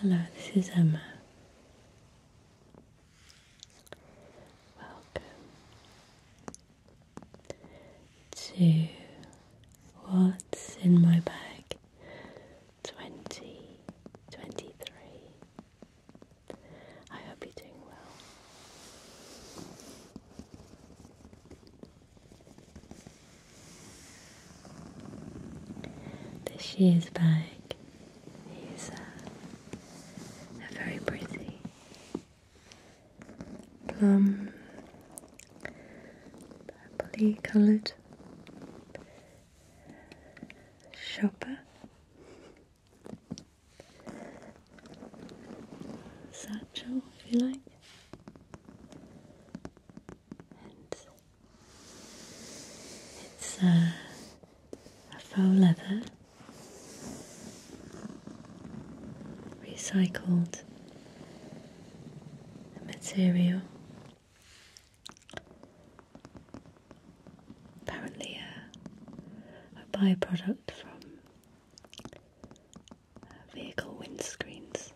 Hello, this is Emma. Welcome to What's in My Bag 2023. I hope you're doing well. The shears bag is uh, a very pretty plum purpley coloured shopper. Satchel, if you like, it's uh, a, faux leather recycled material apparently a, uh, a byproduct from vehicle windscreens,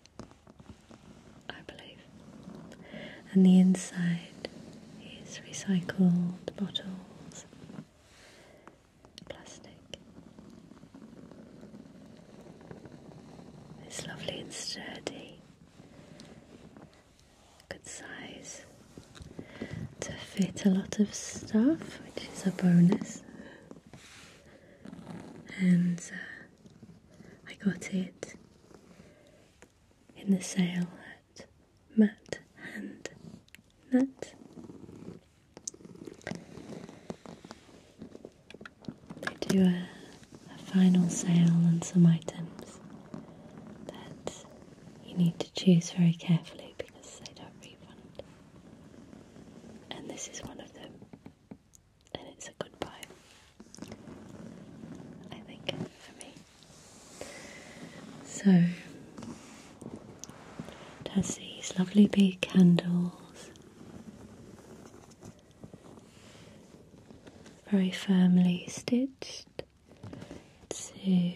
I believe. And the inside is recycled bottles, plastic. It's lovely and sturdy, good size to fit a lot of stuff, which is a bonus. And uh, I got it in the sale at Matt and Matt. They do a, a final sale on some items that you need to choose very carefully because they don't refund. And this is one of them and it's a goodbye. I think for me. So it has these lovely big candles very firmly stitched to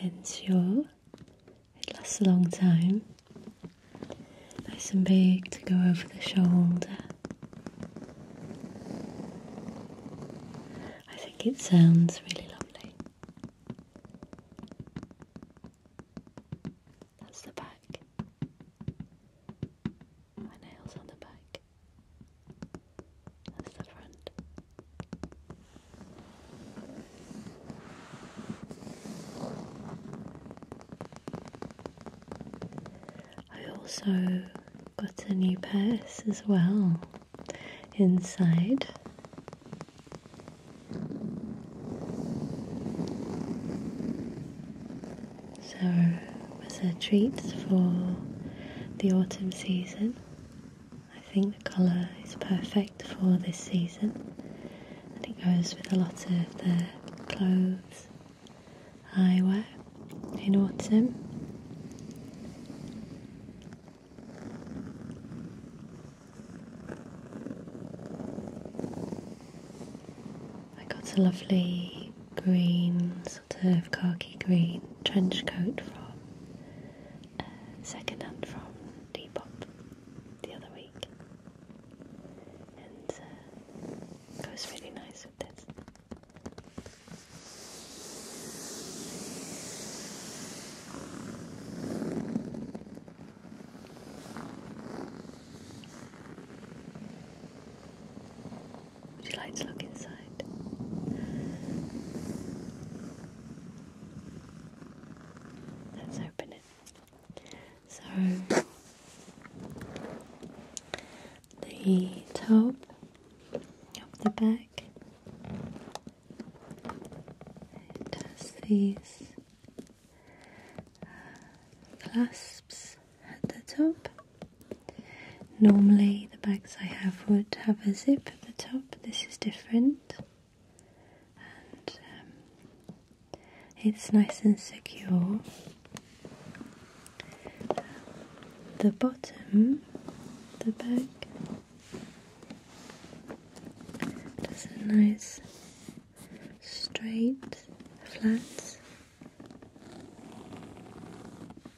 ensure it lasts a long time Nice and big to go over the shoulder. I think it sounds really lovely. That's the back. My nails on the back. That's the front. I also got a new purse as well inside. So it a treat for the autumn season. I think the colour is perfect for this season and it goes with a lot of the clothes I wear in autumn. I got a lovely green, sort of khaki green trench coat from uh, second hand from Depop the other week. Uh, it was really nice with this. Would you like to look inside? Let's open it. So the top of the bag. it has these uh, clasps at the top. Normally the bags I have would have a zip at the top, this is different um, it's nice and secure. The bottom, the back, does a nice straight, flat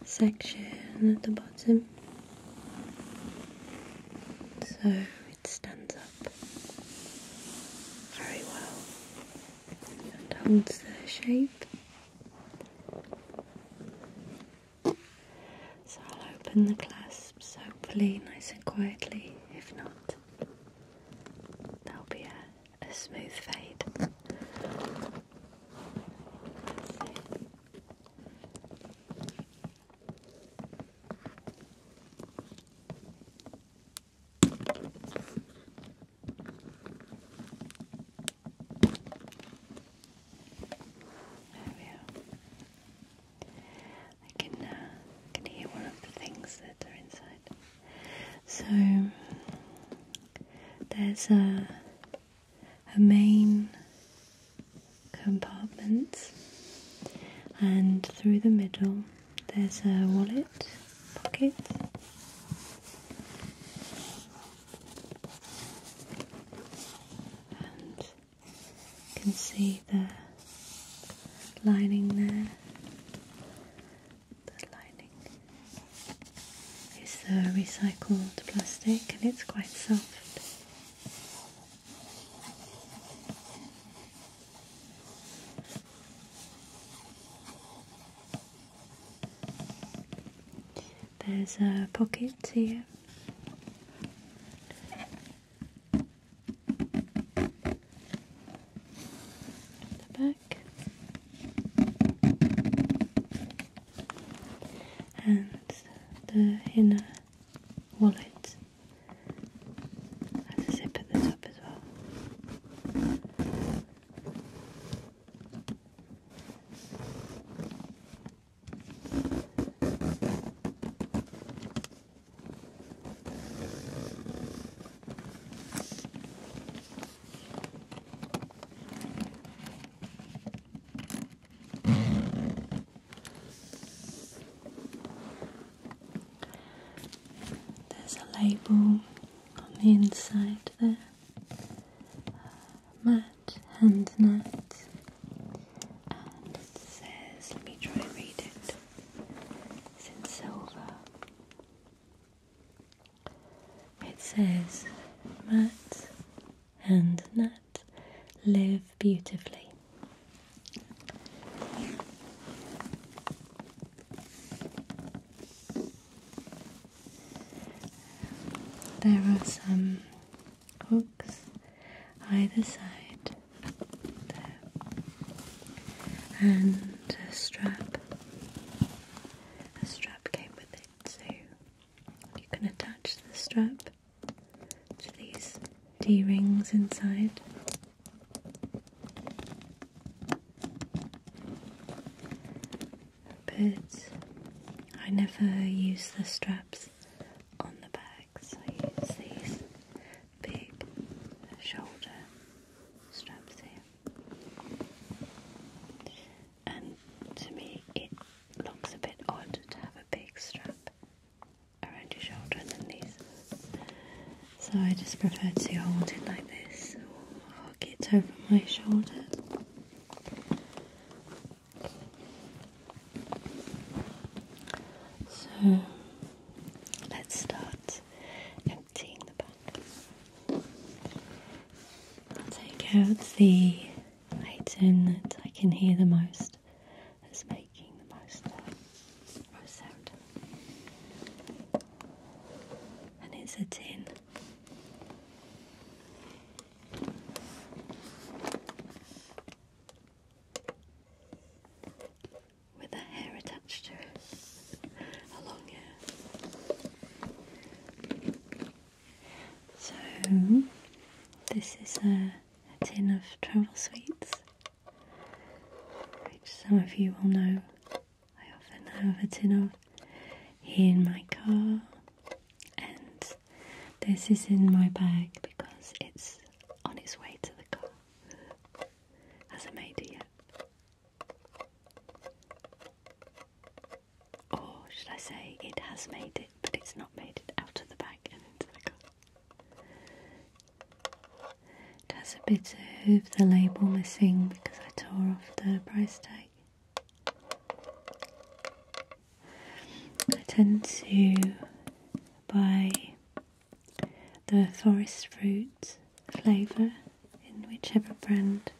section at the bottom so it stands up very well. Holds their shape. So I'll open the clasps, hopefully nice and quietly. If not, there'll be a smooth fade. I can, uh, can hear one of the things that are inside. So there's a, a main compartment, and through the middle there's a wallet pocket. you can see the lining there. The lining is recycled plastic and it's quite soft. There's a pocket here. the back. And the inner wallet has a zip at the top as well. There's a label on the inside there. Matt hand net. And it says, let me try and read it. It's in silver. It says, Matt and Nat live beautifully. There are some hooks either side and a strap. A strap came with it, so you can attach the strap to these D rings inside. But I never use the straps on the bags, I use these big shoulder straps here. And to me, it looks a bit odd to have a big strap around your shoulder and then these so I just prefer to hold it like this or hug it over my shoulder. So let's start emptying the bag. I'll take out the item that I can hear the most that's making the most noise sound and it's a tin. With a hair attached to it, a long hair. So, this is a, tin of travel sweets, which some of you will know I often have a tin of here in my car, and this is in my bag because it's on its way to the car. Hasn't made it yet. Or should I say, it has made it, but it's not made it out of the bag and into the car. It has a bit of the label missing because I tore off the price tag. I tend to buy the forest fruit flavour in whichever brand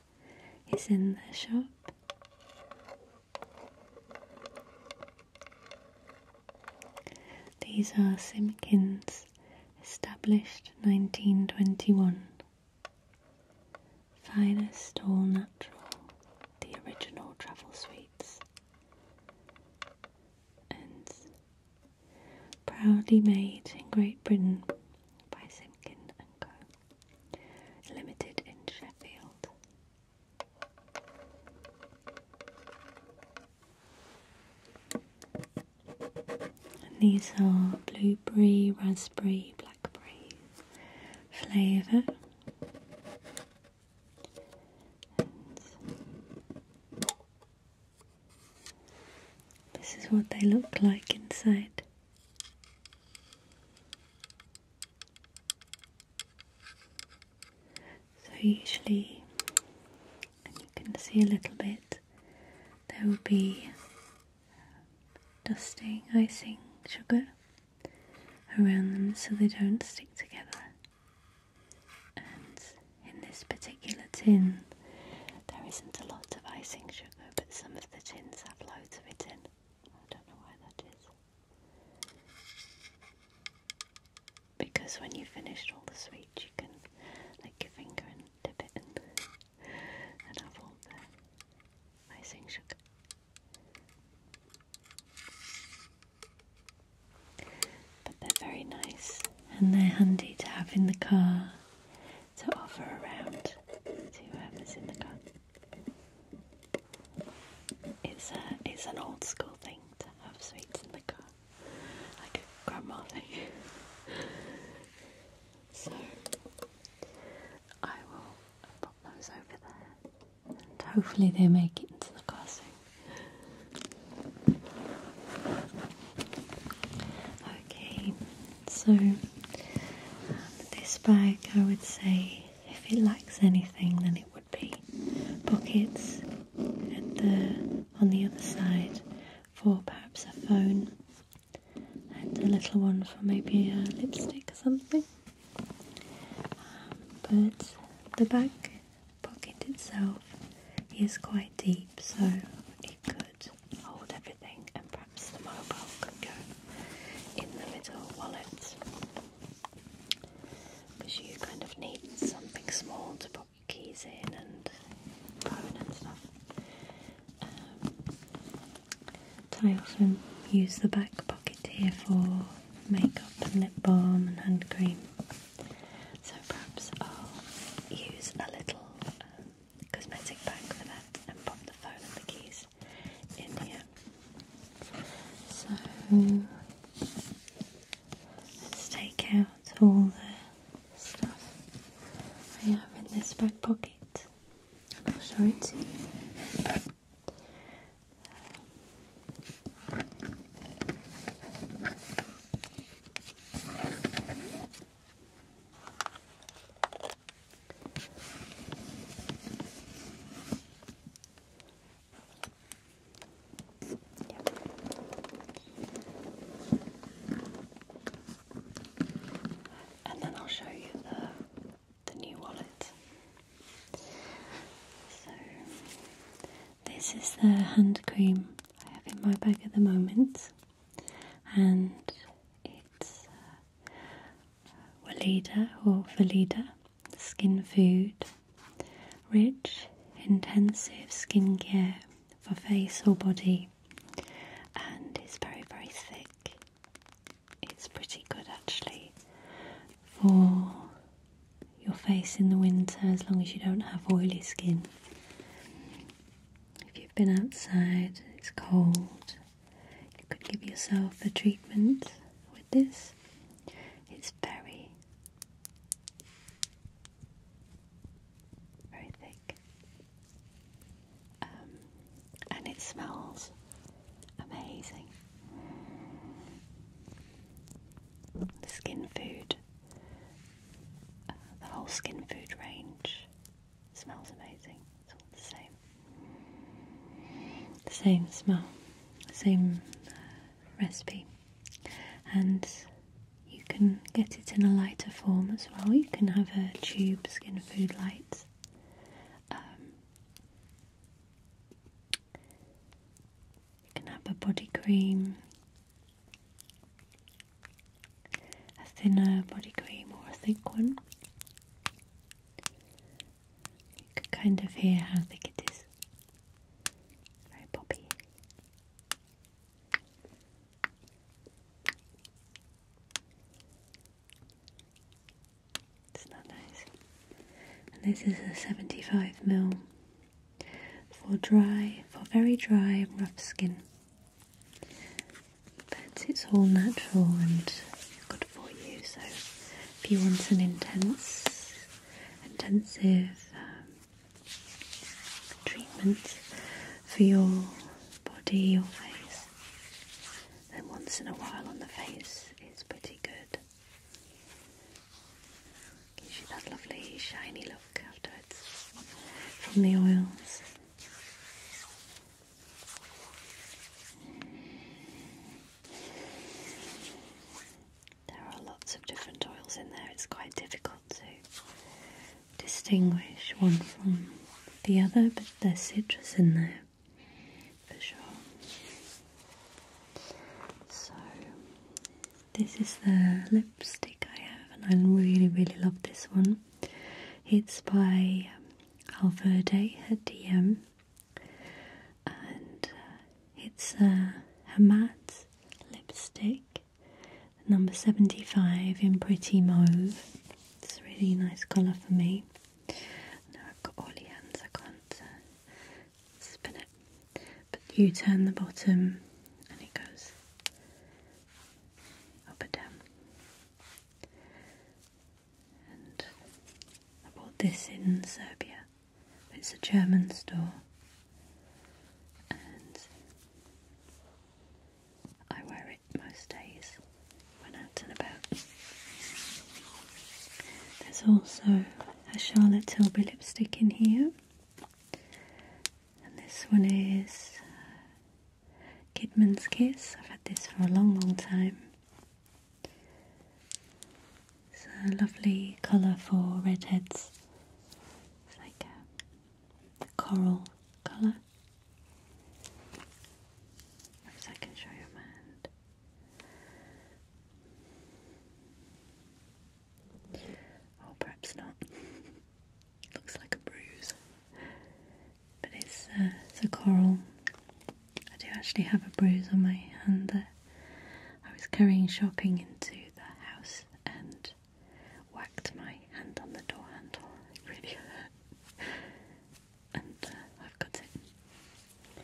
is in the shop. These are Simpkins, established 1921. Finest all natural, the original travel sweets, and proudly made in Great Britain by Simkin and Co. Limited in Sheffield. And these are blueberry, raspberry, blackberry flavour. This is what they look like inside. So, usually, you can see a little bit, there will be dusting, icing sugar around them so they don't stick together. And in this particular tin, there isn't a lot of icing sugar, but some of the tins have loads of it in. I don't know why that is. Because when you've finished all the sweets, you can take your finger and dip it in and I've all the icing sugar. But they're very nice and they're handy to have in the car to offer around to whoever's in the car. It's a it's an old school thing to have sweets in the car, like grandma so I will pop those over there and hopefully they make it into the casting. Okay, so this bag I would say if it lacks anything then it would be pockets at the on the other side for perhaps a phone and a little one for maybe a lipstick or something. Um, but the back pocket itself is quite deep, so it could hold everything, and perhaps the mobile could go in the middle wallet because you kind of need something small to put your keys in and phone and stuff. Um, I also use the back pocket here for makeup and lip balm and hand cream. So perhaps I'll use a little um, cosmetic bag for that and pop the phone and the keys in here. So let's take out all the stuff I have in this back pocket. I'll show it to you. Yep and then I'll show you the, the new wallet. So, this is the hand cream I have in my bag at the moment, and it's uh, Walida or Valida Skin Food Rich Intensive Skincare for Face or Body and it's very, very thick. It's pretty good actually for your face in the winter as long as you don't have oily skin. If you've been outside, it's cold, you could give yourself a treatment with this. It's very, very thick. Um, and it smells amazing. The skin food, the whole skin food range smells amazing. It's all the same. The same smell, the same recipe. And you can get it in a lighter form as well. You can have a tube skin food light. Um, you can have a body cream, a thinner body cream or a thick one. You can kind of hear how thick it is. Very poppy. It's not nice. this is a 75 mil for dry, for very dry rough skin. But it's all natural and good for you. So if you want an intense, intensive um, treatment, for your body, your face. Then once in a while on the face it's pretty good. Gives you that lovely shiny look afterwards from the oils. There are lots of different oils in there, it's quite difficult to distinguish one from the other, but there's citrus in there for sure. So, this is the lipstick I have, and I really, really love this one. It's by um, Alverde at and uh, it's a uh, lipstick, number 75 in pretty mauve. It's a really nice colour for me. I've got all the hands, I can't uh, spin it. But you turn the bottom and it goes up and down. And I bought this in Serbia. It's a German store. And I wear most days when out and about. There's also a Charlotte Tilbury lipstick in here, and this one is uh, Kidman's Kiss. I've had this for a long, long time. It's a lovely colour for redheads. It's like a coral colour. If I can show you hand. Oh, perhaps not. looks like a bruise. But it's, uh, it's a coral. I do actually have a bruise on my hand that I was carrying shopping into the house and whacked my hand on the door handle. It and uh, I've got it.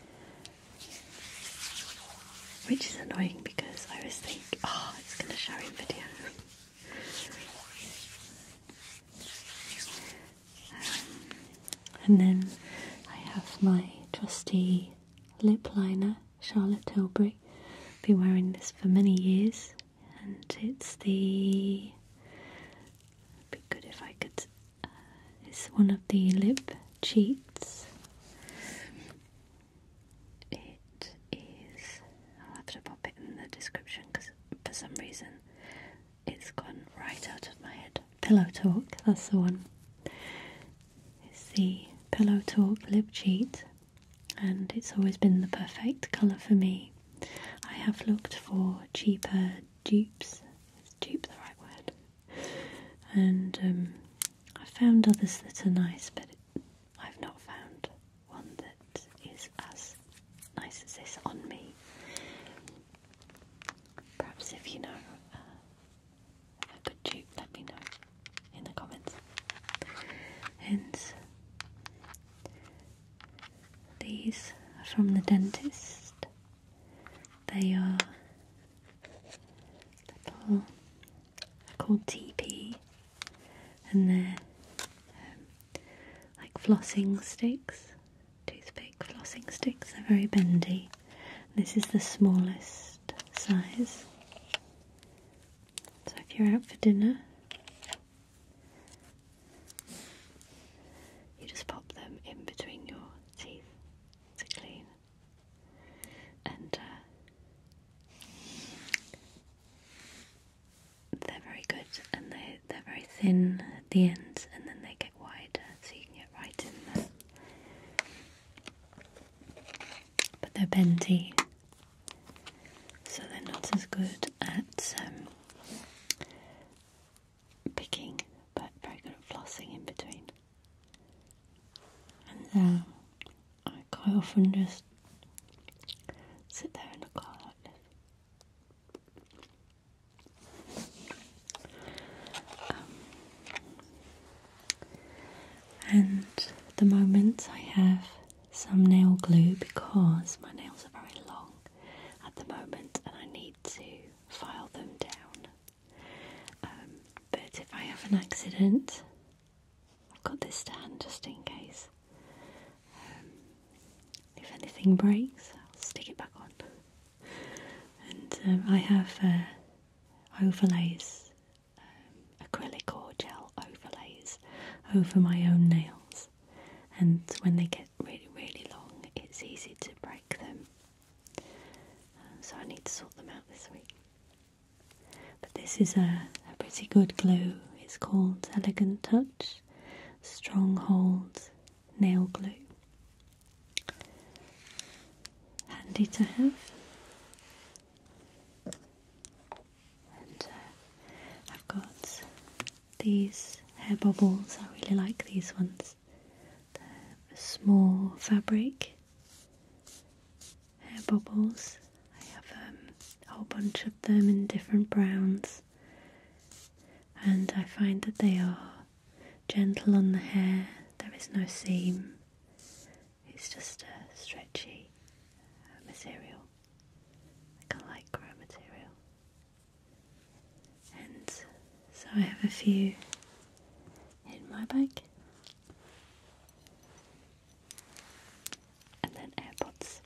Which is annoying because I was thinking, oh, ah, it's going to show in video. and then I have my trusty lip liner, Charlotte Tilbury. Been wearing this for many years and it's the. It'd be good if I could. Uh, it's one of the lip cheats. It is. I'll have to pop it in the description because for some reason it's gone right out of my head. Pillow Talk, that's the one. It's the Pillow Talk lip cheat, and it's always been the perfect colour for me. I have looked for cheaper dupes. Is dupe the right word? And um, I've found others that are nice, but I've not found one that is as nice as this on me. Perhaps if you know uh, a good dupe, let me know in the comments. And these are from the dentist. They are called TP, and they're um, like flossing sticks, toothpick flossing sticks. They're very bendy. This is the smallest size. So if you're out for dinner, you just pop them in between your teeth to clean. And uh, they're very good and they, are very thin at the ends and then they get wider so you can get right in there. But they're bendy so they're not as good at um, picking, but very good at flossing in between. And uh, I quite often just sit there in the car like this. Um, and the moment I have some nail glue because my nails are very long at the moment and I need to file them down. Um, but if I have an accident, I've got this stand just in case. Um, if anything breaks, I'll stick it back on. And um, I have uh, overlays, acrylic or gel overlays over my own nails and when they get really, really long, it's easy to break them. Uh, so I need to sort them out this week. But this is a, pretty good glue. It's called Elegant Touch Strong Hold Nail Glue. Handy to have and uh, I've got these hair bubbles. I really like these ones. They're small fabric hair bubbles. I have um, a whole bunch of them in different browns, and I find that they are gentle on the hair. There is no seam. It's just a stretchy uh, material like a lycra material. And so I have a few in my bag. And then AirPods.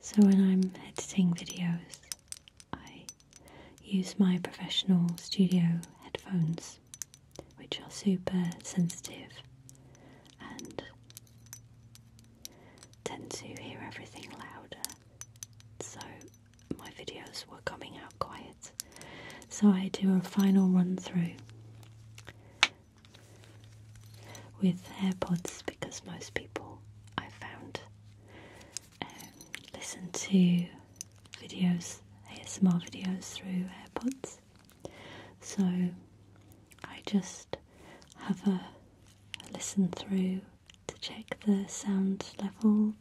So when I'm editing videos, I use my professional studio headphones, which are super sensitive and tend to hear everything louder, so my videos were coming out quiet. So I do a final run through with AirPods because most people I found um, listen to videos, ASMR videos through AirPods. So I just have a, listen through to check the sound level,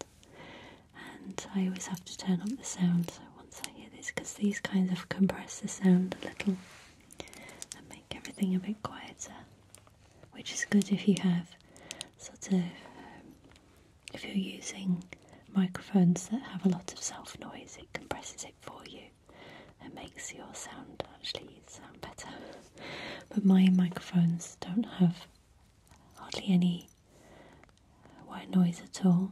and I always have to turn up the sound once I hear this because these kinds of compress the sound a little and make everything a bit quieter which is good if you have sort of if you're using microphones that have a lot of self noise it compresses it for you it makes your sound actually sound better. but my microphones don't have hardly any white noise at all,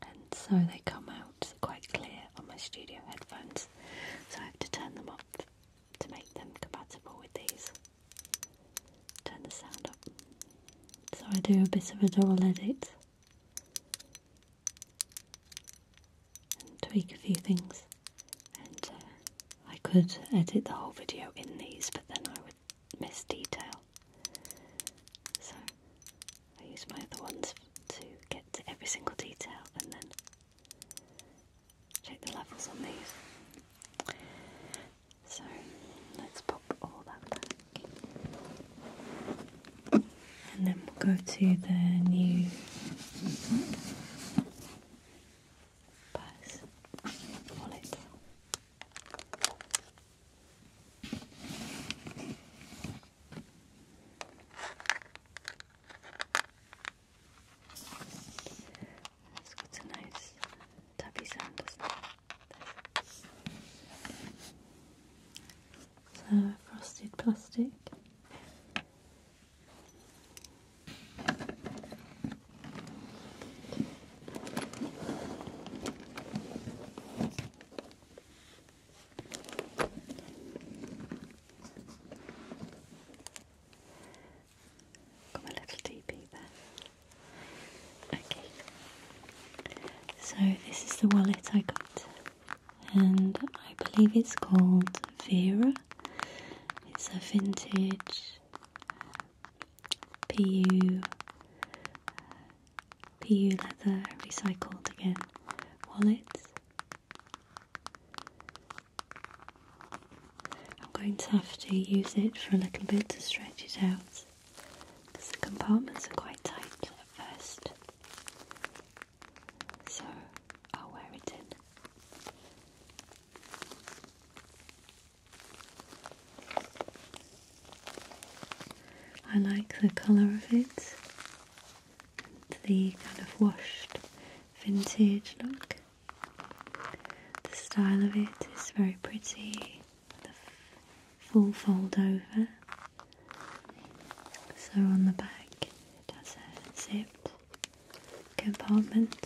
and so they come out quite clear on my studio headphones. So I have to turn them up to make them compatible with these. Turn the sound up. So I do a bit of a dual edit and tweak a few things. And uh, I could edit the whole video in these, but then I would miss detail. So I use my other ones to get to every single detail and then check the levels on these. So let's pop all that back and then we'll go to the new purse wallet. It's got a nice tappy sound, doesn't it? So frosted plastic. Got my little DB there. Okay. So this is the wallet I got and I believe it's called Vera. It's a vintage PU PU leather recycled again wallet. I'm going to have to use it for a little bit to stretch it out because the compartments are quite tight at first so I'll wear it in. I like the colour of it, the kind of washed vintage look. The style of it is very pretty, the full fold over, so on the back it has a zipped compartment.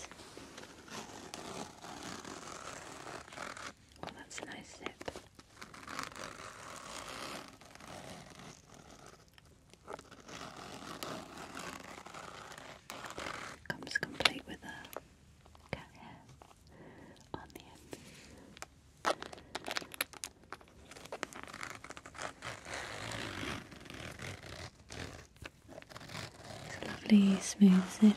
Oh, that's a nice zip. Comes complete with a cat hair on the end lovely smooth zip.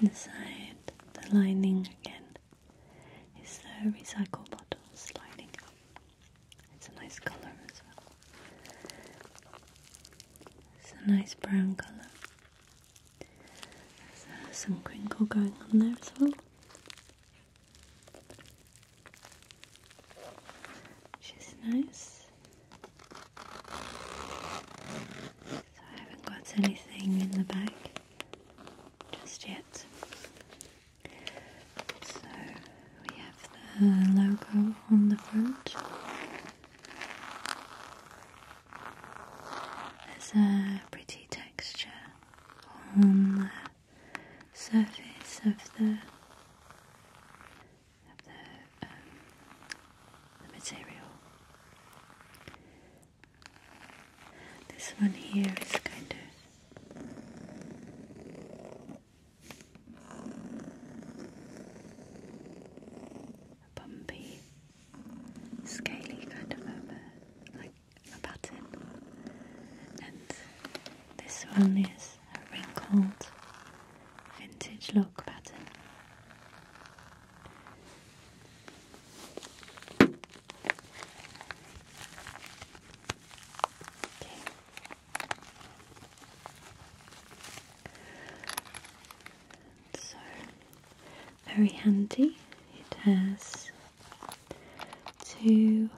And inside the lining again is the recycle bottle lining up. It's a nice color as well. It's a nice brown color. There's uh, some crinkle going on there as well. Which is nice. So I haven't got anything in the bag just yet. So we have the logo on the front. There's a pretty texture on the surface of the of the, um, material. This one here is kind of a bumpy, scaly kind of a like a pattern, and this one is a wrinkled vintage look pattern. Okay. So very handy. It has two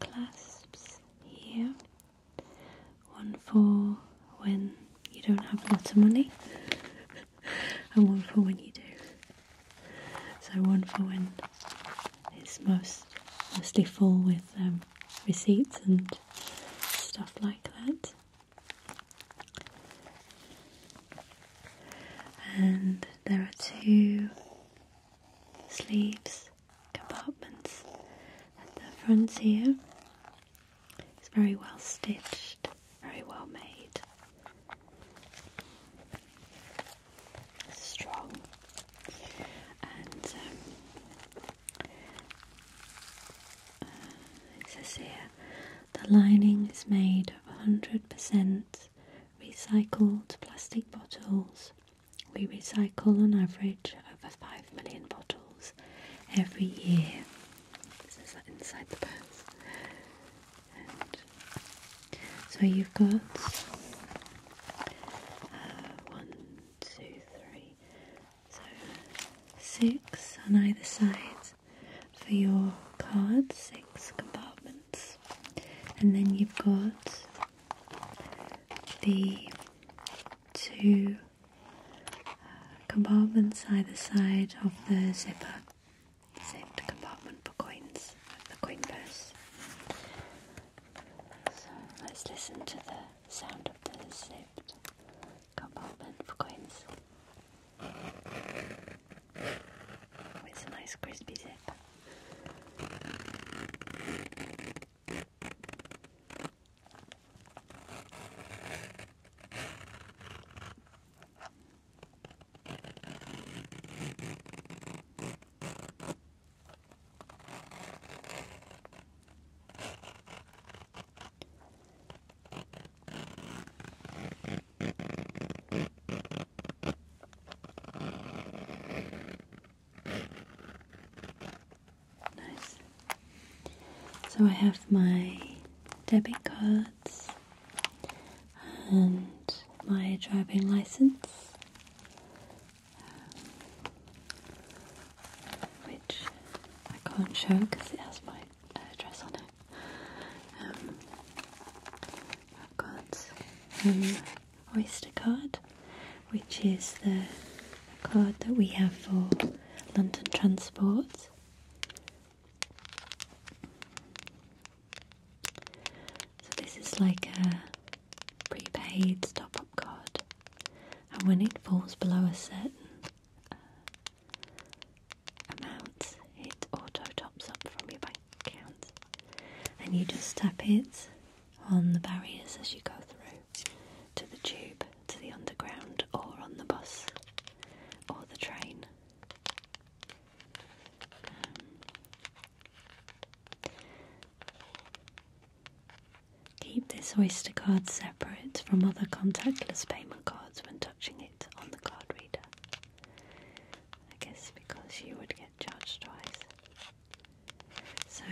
clasps here. One for when you don't have a lot of money, and one for when you do. So one for when it's most mostly full with them. Um, receipts and stuff like that. And there are two sleeves, compartments at the front here. It's very well stitched, very well made. Strong. And um, uh, the lining is made of 100% recycled plastic bottles. We recycle on average over 5 million bottles every year. This is inside the purse. so you've got uh, one, two, three, so six on either side for your card, six compartments. And then you've got the two uh, compartments either side of the zipper. Saved compartment for coins, the coin purse. So let's listen to the sound of the zipped compartment for coins with a nice crispy zip. So I have my debit cards and my driving license which I can't show because it has my address uh, on it. Um, I've got an Oyster card, which is the card that we have for London Transport. So this is like a prepaid stop up card and when it falls below a certain uh, amount, it auto tops up from your bank account, and you just tap it on the barriers as you go through to the tube, to the underground, or on the bus or the train. Um, Keep this Oyster card separate from other contactless payment cards when touching it on the card reader. I guess because you would get charged twice. So,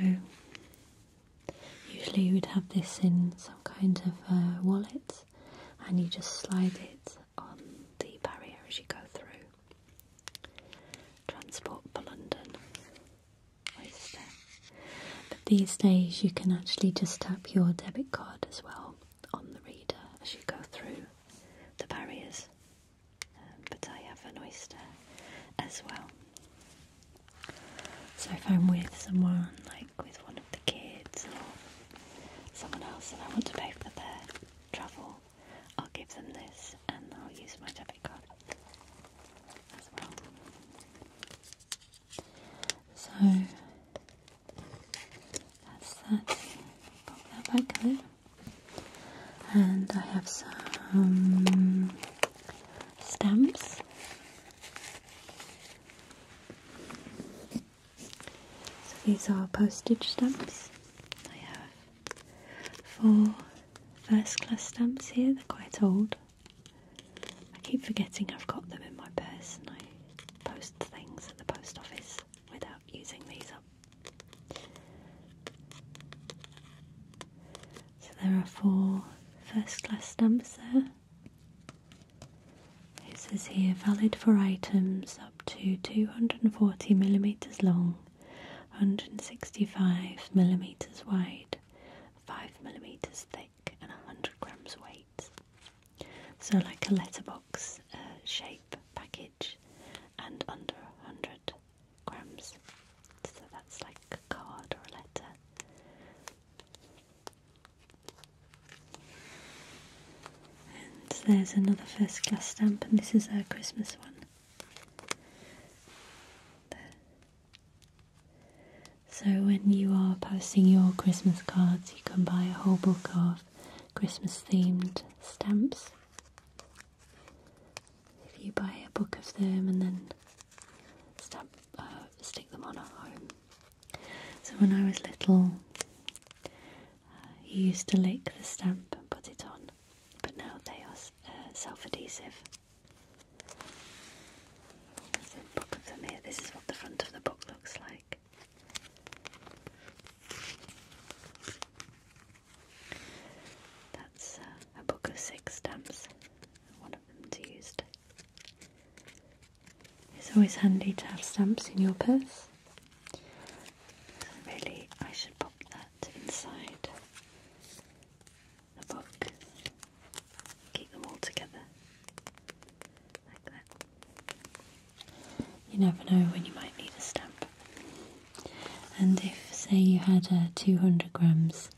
usually you would have this in some kind of uh, wallet and you just slide it on the barrier as you go through. Transport for London. But these days you can actually just tap your debit card as well on the reader as you go through the barriers. Um, but I have an oyster as well. So if I'm with someone, like with one of the kids or someone else, and I want to pay for their travel, I'll give them this and I'll use my debit card. So that's that. Okay, And I have some stamps. So these are postage stamps. I have four first class stamps here, they're quite old. I keep forgetting I've got them in my purse and I post things at the post office without using these up. So there are four first class stamps there. It says here valid for items up to 240 millimeters long, 165 millimeters wide, 5 millimeters thick, and 100 grams weight. So, like a letterbox uh, shape package, and under 100 grams. So, that's like a card or a letter. And there's another first class stamp, and this is a Christmas one. So, when you are posting your Christmas cards, you can buy a whole book of Christmas themed stamps. If you buy a book of them and then uh, stick them on at home. So, when I was little, uh, you used to lick the stamp and put it on, but now they are uh, self adhesive. There's book of them here. This is what the front of the book looks like. That's uh, a book of six stamps. One of them's used. It's always handy to have stamps in your purse. really, I should pop that inside the book. Keep them all together like that. You never know when you might need a stamp. And if, say, you had a 200 grams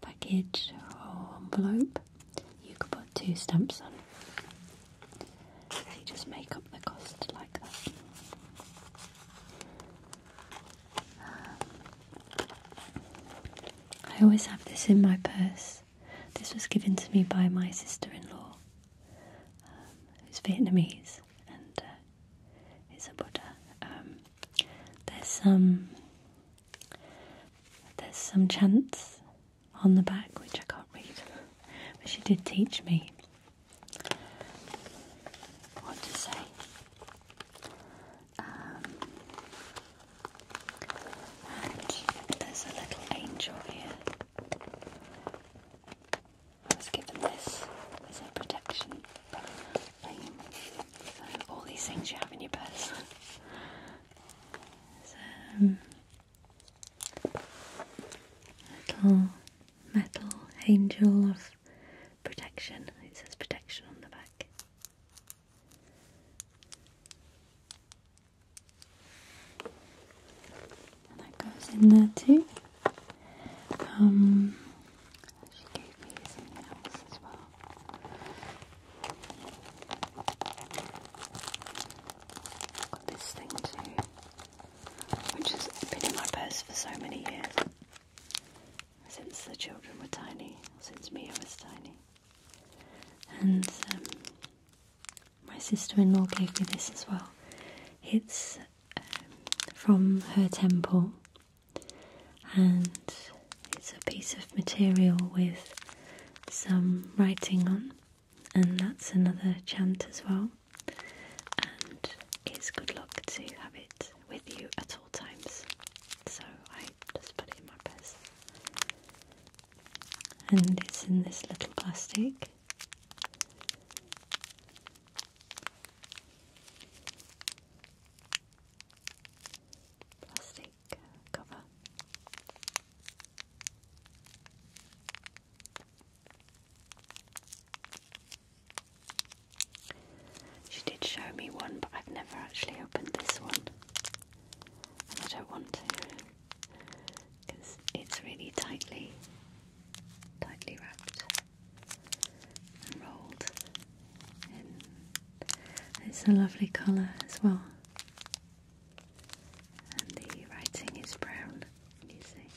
package or envelope, you could put two stamps on. you just make up the cost like that. Um, I always have this in my purse. This was given to me by my sister in law, um, who's Vietnamese, and is a Buddha. there's some. There's some chants on the back which I can't read, but she did teach me what to say. Um, and there's a little angel here. I given this as a protection all these things you have in your purse. so, um, little metal angel of protection. It says protection on the back that goes in there too. Um, she gave me something else as well. i got this thing too, which has been in my purse for so many years since the children were tiny, since Mia was tiny. And um, my sister in law gave me this as well. It's um, from her temple, and it's a piece of material with some writing on, and that's another chant as well. And it's good luck to have it with you at all times, so I just put it in my purse. And it's in this little plastic. Plastic cover. She did show me one, but I've never actually opened this one. And I don't want to because it's really tightly, tightly wrapped and rolled. In. It's a lovely colour as well. And the writing is brown, you see.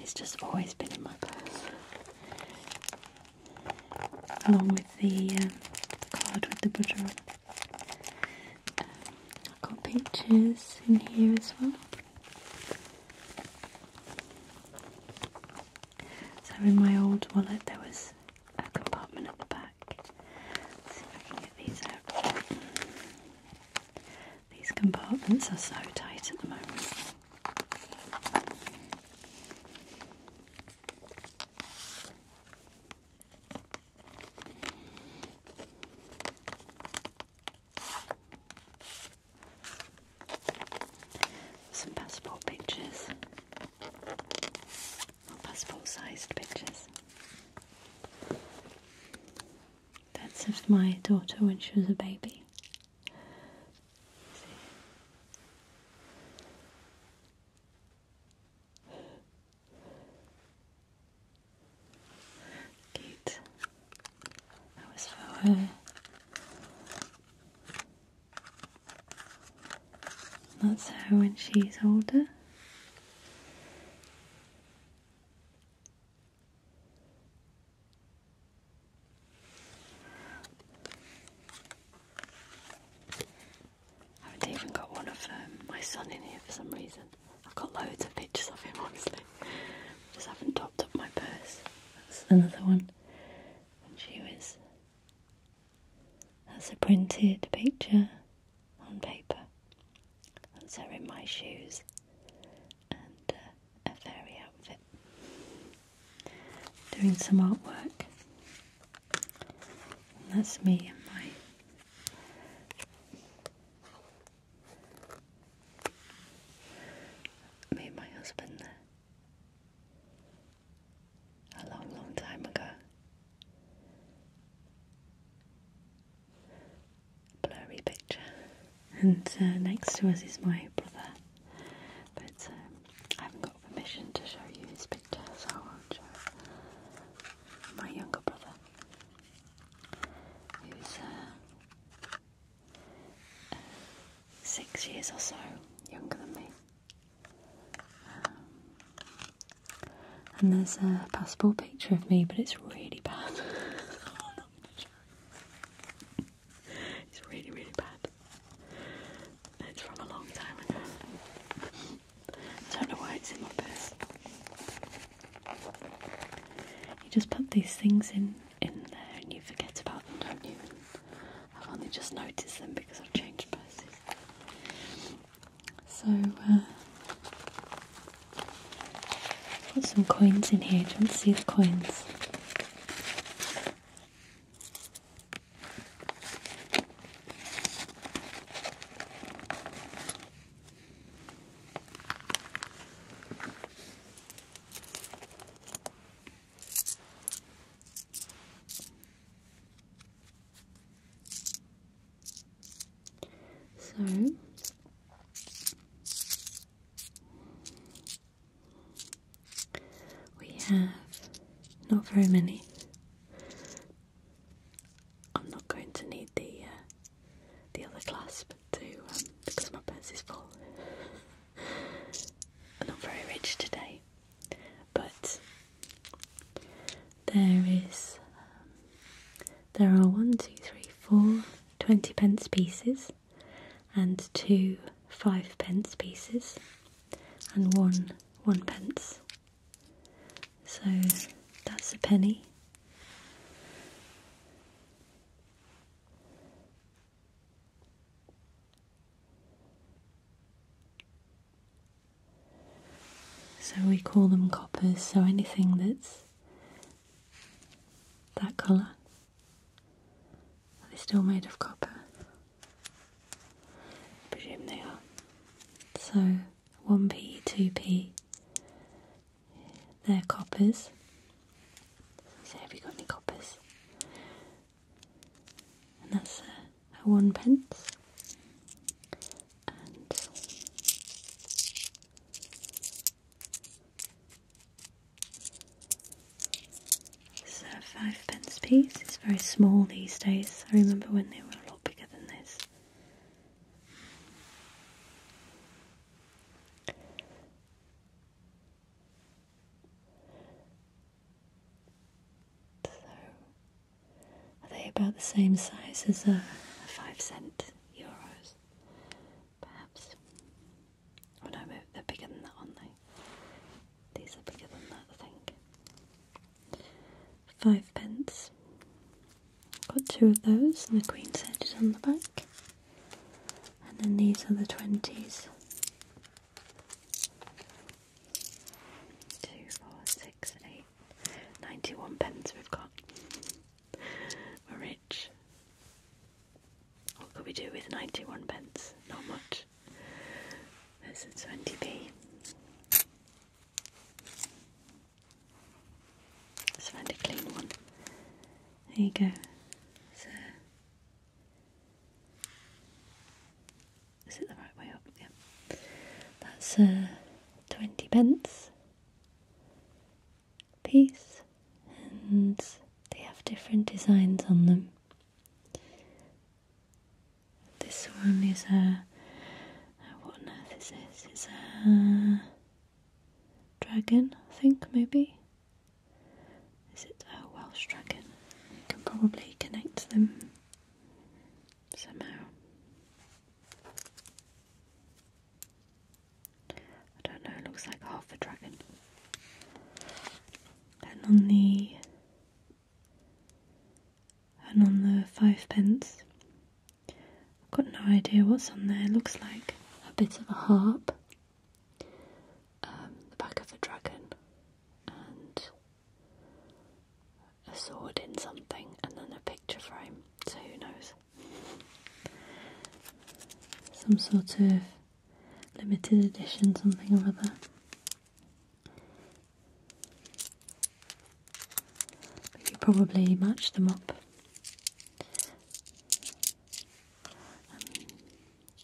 It's just always been in my purse, along with the um, card with the butter um, I've got pictures in here as well. So in my old wallet there was a compartment at the back. see if I can get these out. These compartments are so tight at the moment. Some passport pictures. passport sized pictures. That's of my daughter when she was a baby. Cute that was for her. That's her when she's older. I haven't even got one of um, my son in here for some reason. I've got loads of pictures of him, honestly. Just haven't topped up my purse. That's another one she was. That's a printed picture on paper. That's her in my shoes and uh, a fairy outfit. Doing some artwork. that's me and my me and my husband there a long, long time ago. Blurry picture. And uh, next to us is my brother, but um, I haven't got permission to show you his picture, so I won't show my younger brother, who's uh, six years or so younger than me. Um, and there's a passport picture of me, but it's really bad. it's really, really bad. It's from a long time ago. I don't know why it's in my purse. You just put these things in in there and you forget about them, don't you? I've only just noticed them because I've changed places. So, uh, some coins in here. Do not see the coins? So we have not very many. I'm not going to need the uh, the other clasp to um, because my purse is full not very rich today, but there is um, there are one, two, three, four twenty pence pieces, and two five pence pieces, and one one pence. So that's a penny. So we call them coppers, so anything that's that colour. Are they still made of copper? presume they are. So 1p, 2p, they're coppers. So have you got any coppers? and that's a, one pence. And five pence piece. It's very small these days. I remember when they were a lot bigger than this are they about the same size as a, five cent euros? Perhaps. Oh no, they're bigger than that, one. not they? These are bigger than that, I think. Five pence. Got two of those, and the Queen's Head is on the back. And then these are the 20s. Two, four, six, eight, 91 pence we've got. We're rich. What could we do with 91 pence? Not much. There's a 20p. Let's find a clean one. There you go. So is it the right way up? Yeah. That's uh, 20 pence piece and they have different designs on them. This one is a, uh, what on earth is this? It's a dragon, I think, maybe. Is it a Welsh dragon? You can probably connect them somehow. I don't know, it looks like half a dragon. And on the and on the fivepence, I've got no idea what's on there. It looks like a bit of a harp. Um, the back of a dragon and a sword in something and then a picture frame, so who knows? Some sort of limited edition, something or other. You probably match them up. Um,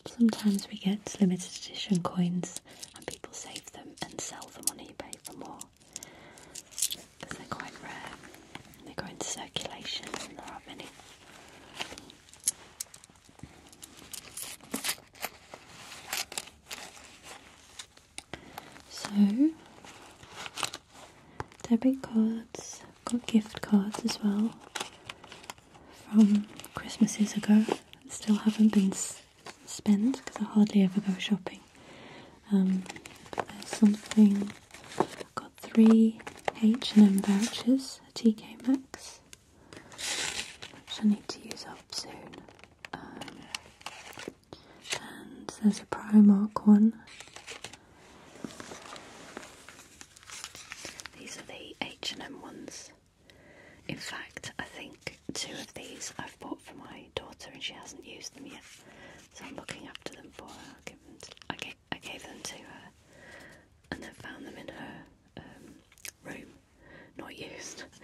sometimes we get limited edition coins and people save them and sell them on eBay for more because they're quite rare. They go into circulation and there are many. So, debit cards, got gift cards as well from Christmases ago still haven't been spent because I hardly ever go shopping. but um, there's something. I've got three H&M vouchers a TK Maxx, which I need to use up soon. and there's a Primark one. These are the H&M ones. In fact, I think two of these I've bought for my daughter and she hasn't used them yet. So I'm looking after them for her. I gave them, to, her and then found them in her um, room, not used.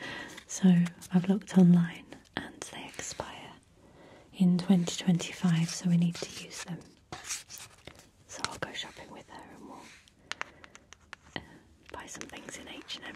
So I've looked online and they expire in 2025, so we need to use them. So I'll go shopping with her and we'll buy some things in H&M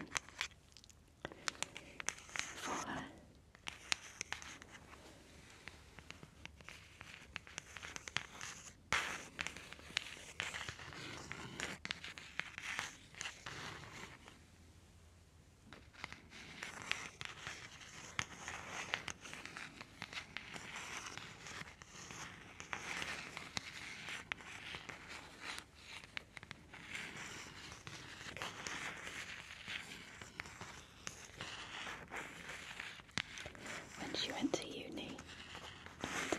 when she went to uni,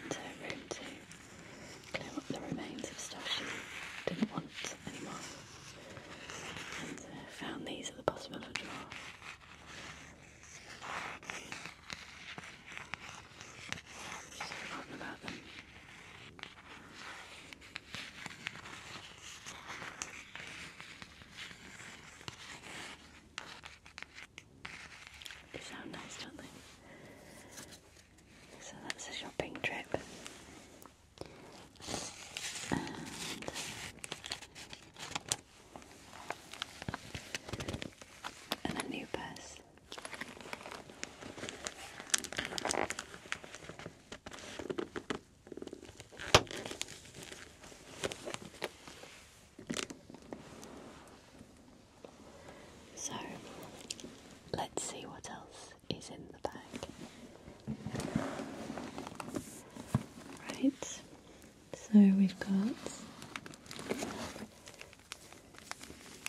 into room to clear up the remains of stuff she didn't want anymore, and uh, found these at the bottom of a drawer. So They sound nice, don't they? So that's a shopping trip and a new purse. So let's see what else is in the bag. Right, so we've got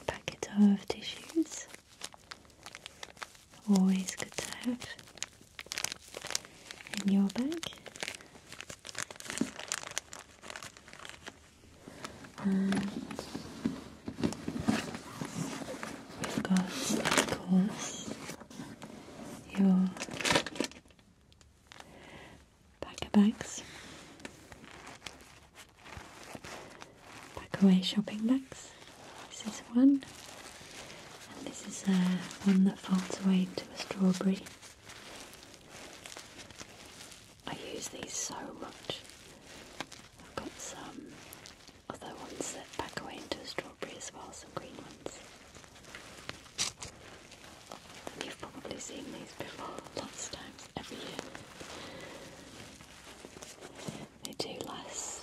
packet of tissues. Always good to have in your bag. And we've got, of course, your packer bags, pack away shopping bags. This is one, and this is uh, one that folds away into a strawberry. I use these so much. I've got some other ones that pack away into a strawberry as well, some green ones. You've probably seen these before lots of times every year. They do last.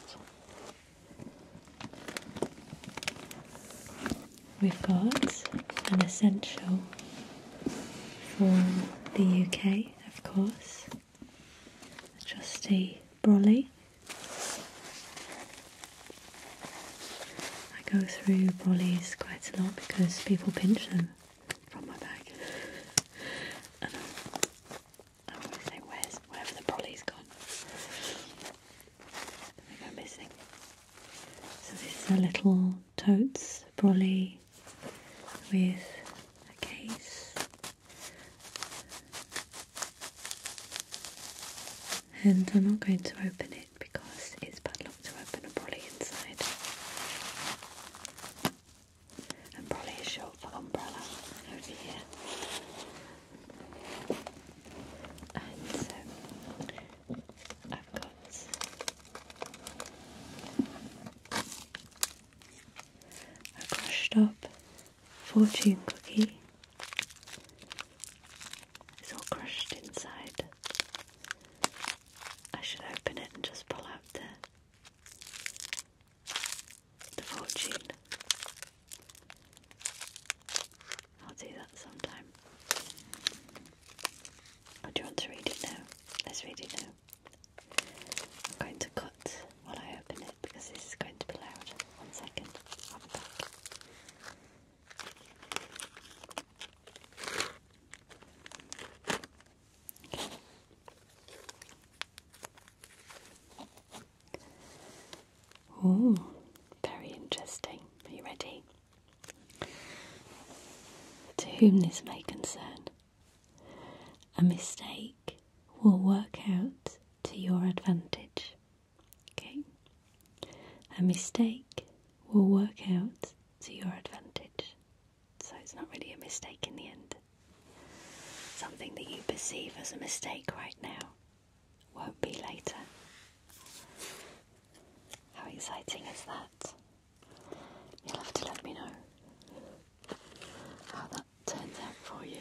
We've got an essential for the UK, of course, trusty brolly. I go through brollies quite a lot because people pinch them from my bag. Um, I always say, where's wherever the brolly's gone? They go missing. So this is a little totes brolly with a case. And I'm not going to open it because it's bad luck to open a Brolly inside. And Brolly is short for umbrella over here. And so I've got a crushed up fortune cookie. It's all crushed inside. I should open it and just pull out the the fortune. I'll do that sometime. Oh, do you want to read it now? Let's read it now. I'm going to cut while I open it because this is going to be loud. One second, I'll be back. Oh, very interesting. Are you ready? To whom this may concern, a mistake will work out to your advantage. Okay? A mistake will work out to your advantage. So it's not really a mistake in the end. Something that you perceive as a mistake right now won't be later. How exciting is that? You'll have to let me know how that turns out for you.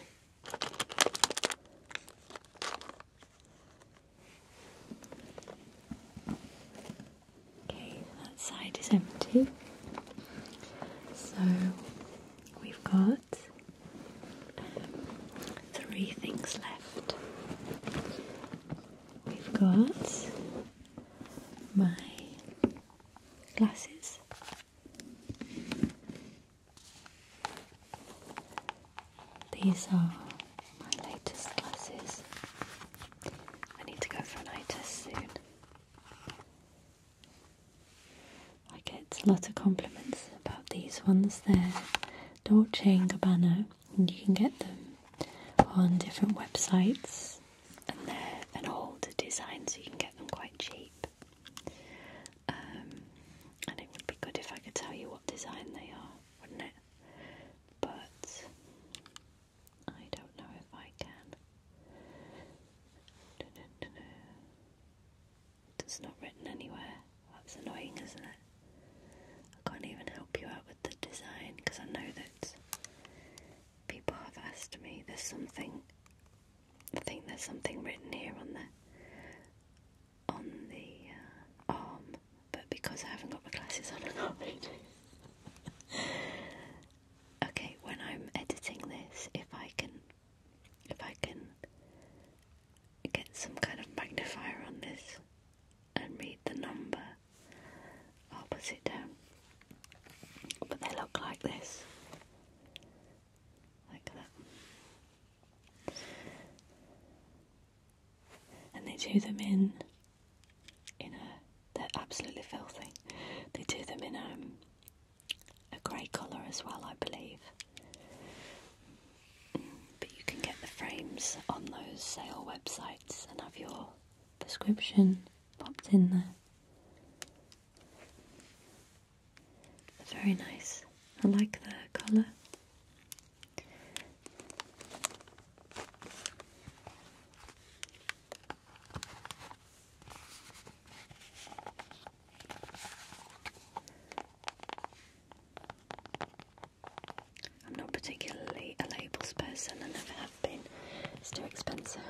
Okay, that side is empty. So we've got um, three things left. We've got my glasses. These are my latest glasses. I need to go for an eye test soon. I get a lot of compliments about these ones. They're Dolce and Gabbana, and you can get them on different websites. And they're an old design, so you can get them quite cheap. Um, and it would be good if I could tell you what design they are, wouldn't it? But I don't know if I can. Dun, dun, dun, dun. It's not written anywhere. That's annoying, isn't it? I can't even help you out with the design because I know that people have asked me. There's something. I think there's something written here on the on the uh, arm but because I haven't got my glasses on, I can't okay, when I'm editing this, if I can, if I can get some kind of magnifier on this and read the number, I'll put it down. But they look like this, like that, and they do them in in a they're absolutely filthy. They do them in um, a grey colour as well, I believe. But you can get the frames on those sale websites and have your prescription popped in there. they very nice. I like the colour. I'm not particularly a labels person, I never have been. It's too expensive.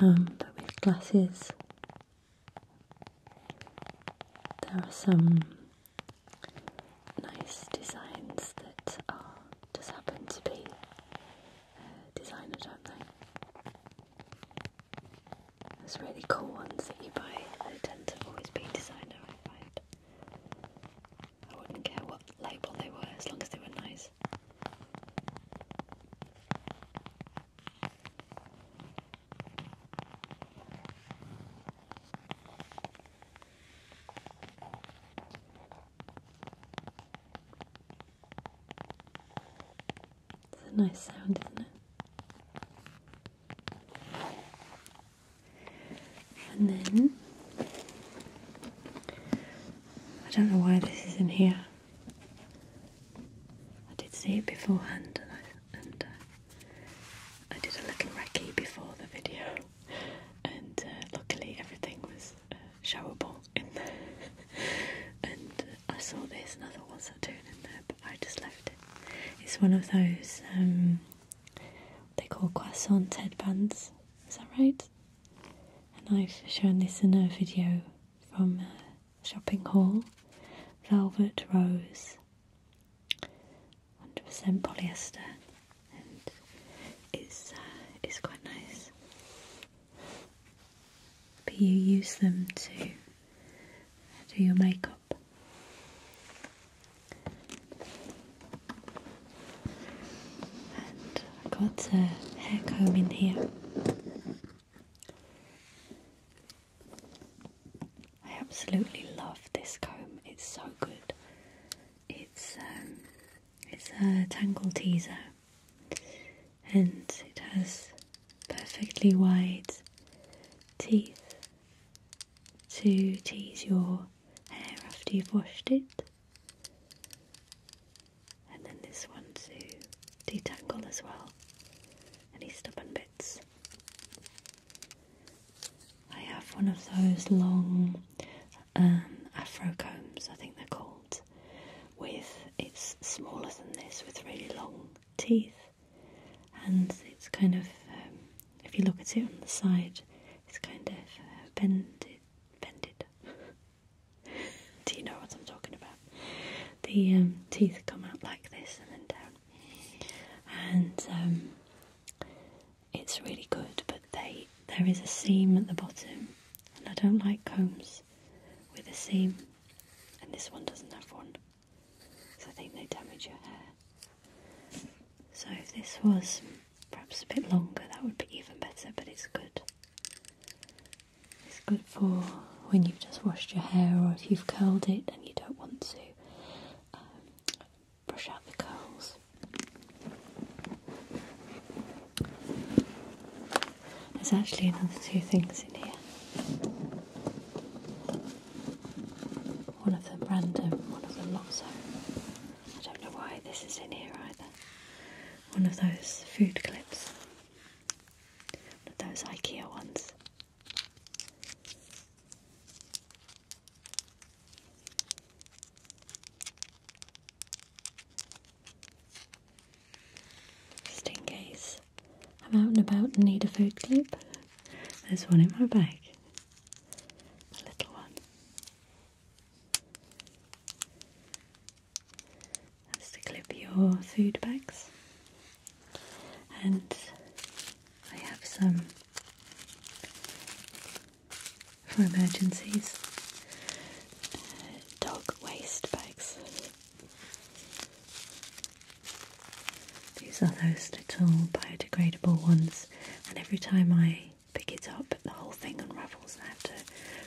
Um, but with glasses, there are some nice designs that are just happen to be uh, designer, don't they? Those really cool ones that you buy, they tend to always be designer, I find. I wouldn't care what label they were as long as they were nice. It's a nice sound, isn't it? And then I don't know why this is in here. I did see it beforehand, and I, uh, did a little recce before the video and uh, luckily everything was uh, showable in there. and I saw there's another one thought, what's that in there? But I just left it. It's one of those um, they call croissant headbands. Is that right? And I've shown this in a video from shopping Hall, Velvet Rose, 100% polyester it's uh, it's quite nice. But you use them to do your makeup. And I got a hair comb in here. I absolutely love this comb. It's so good. It's um, it's a tangle teaser and it has perfectly wide teeth to tease your hair after you've washed it. And then this one to detangle as well. Any stubborn bits. I have one of those long um, afro combs, I think they're called. With it's smaller than this, with really long teeth, and it's kind of um, if you look at it on the side, it's kind of bent, uh, it, Bended. Do you know what I'm talking about? The um, teeth come out like this and then down, and it's really good, but they there is a seam at the bottom, and I don't like combs with a seam, and this one doesn't have one, so I think they damage your hair. So if this was perhaps a bit longer, that would be even better, but it's good. It's good for when you've just washed your hair or if you've curled it and you don't want to um, brush out the curls. There's actually another two things in here. One of the random, one of the not so. I don't know why this is in here either. One of those food clips. One of those IKEA ones. Just in case I'm out and about and need a food clip, there's one in my bag. A little one. That's to clip your food bags. And I have some for emergencies. Uh, dog waste bags. These are those little biodegradable ones, and every time I pick it up, the whole thing unravels and I have to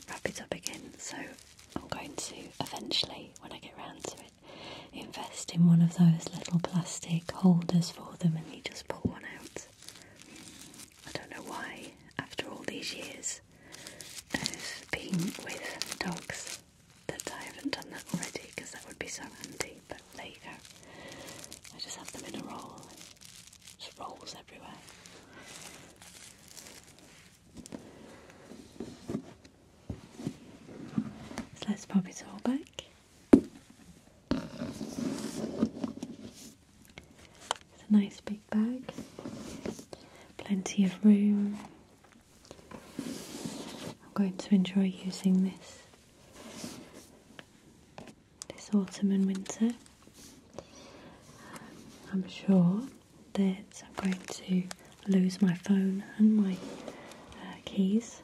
wrap it up again. So I'm going to eventually, when I get round to it, invest in one of those little plastic holders for them and you just pull one out. I don't know why, after all these years of being with dogs, that I haven't done that already because that would be so handy. But there you go. I just have them in a roll. Just rolls everywhere. So let's pop it all back. It's a nice big bag, plenty of room. I'm going to enjoy using this this autumn and winter. I'm sure that I'm going to lose my phone and my uh, keys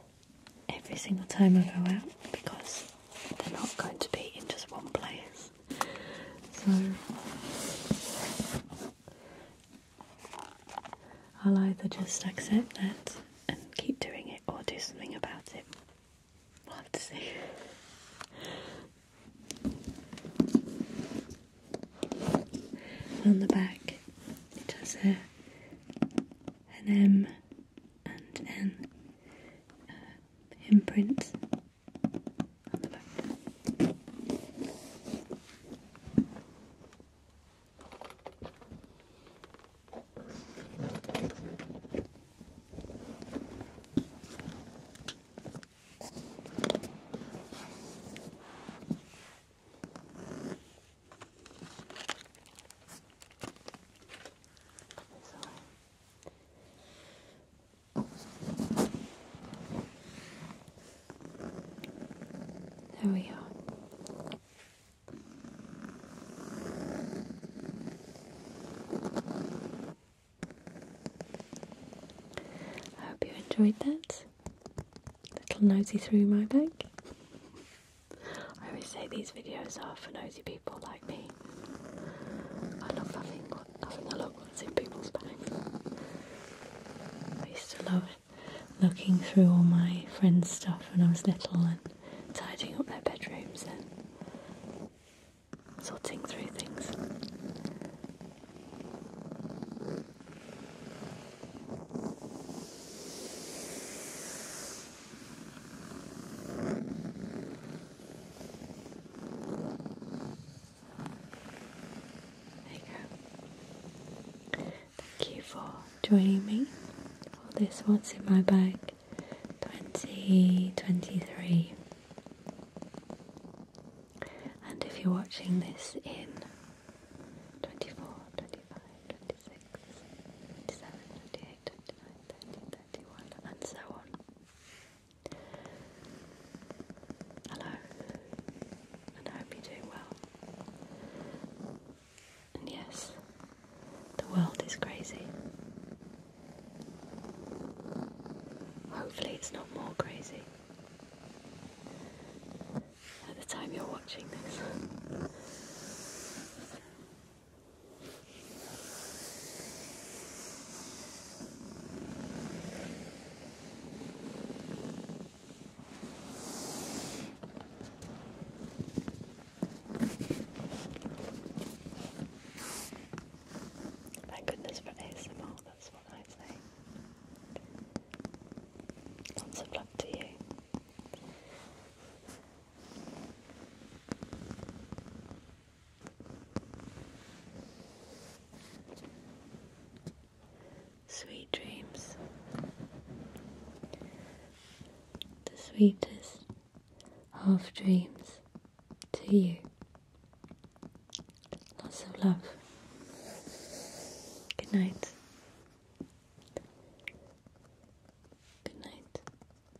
every single time I go out because they're not going to be in just one place. So I'll either just accept that and keep doing it or do something about it. We'll have to see. On the back, it has a, an M and then uh, imprint on the back. There we are. I hope you enjoyed that. Little nosy through my bag. I always say these videos are for nosy people people like me. I love having, a look what's in people's bags. I used to love looking through all my friends' stuff when I was little and tidying up their bedrooms and sorting through things. There you go. Thank you for joining me for this What's in My Bag 2023. And if you're watching this in 24, 25, 26, 27, 28, 29, 30, 31, and so on. Hello, and I hope you do well. And yes, the world is crazy. Hopefully, it's not more crazy. At the time you're watching this. Thank goodness for ASMR, that's what I say. Lots of love to you. Sweet dreams. The sweetest half dreams to you. Lots of love. Good night. Good night.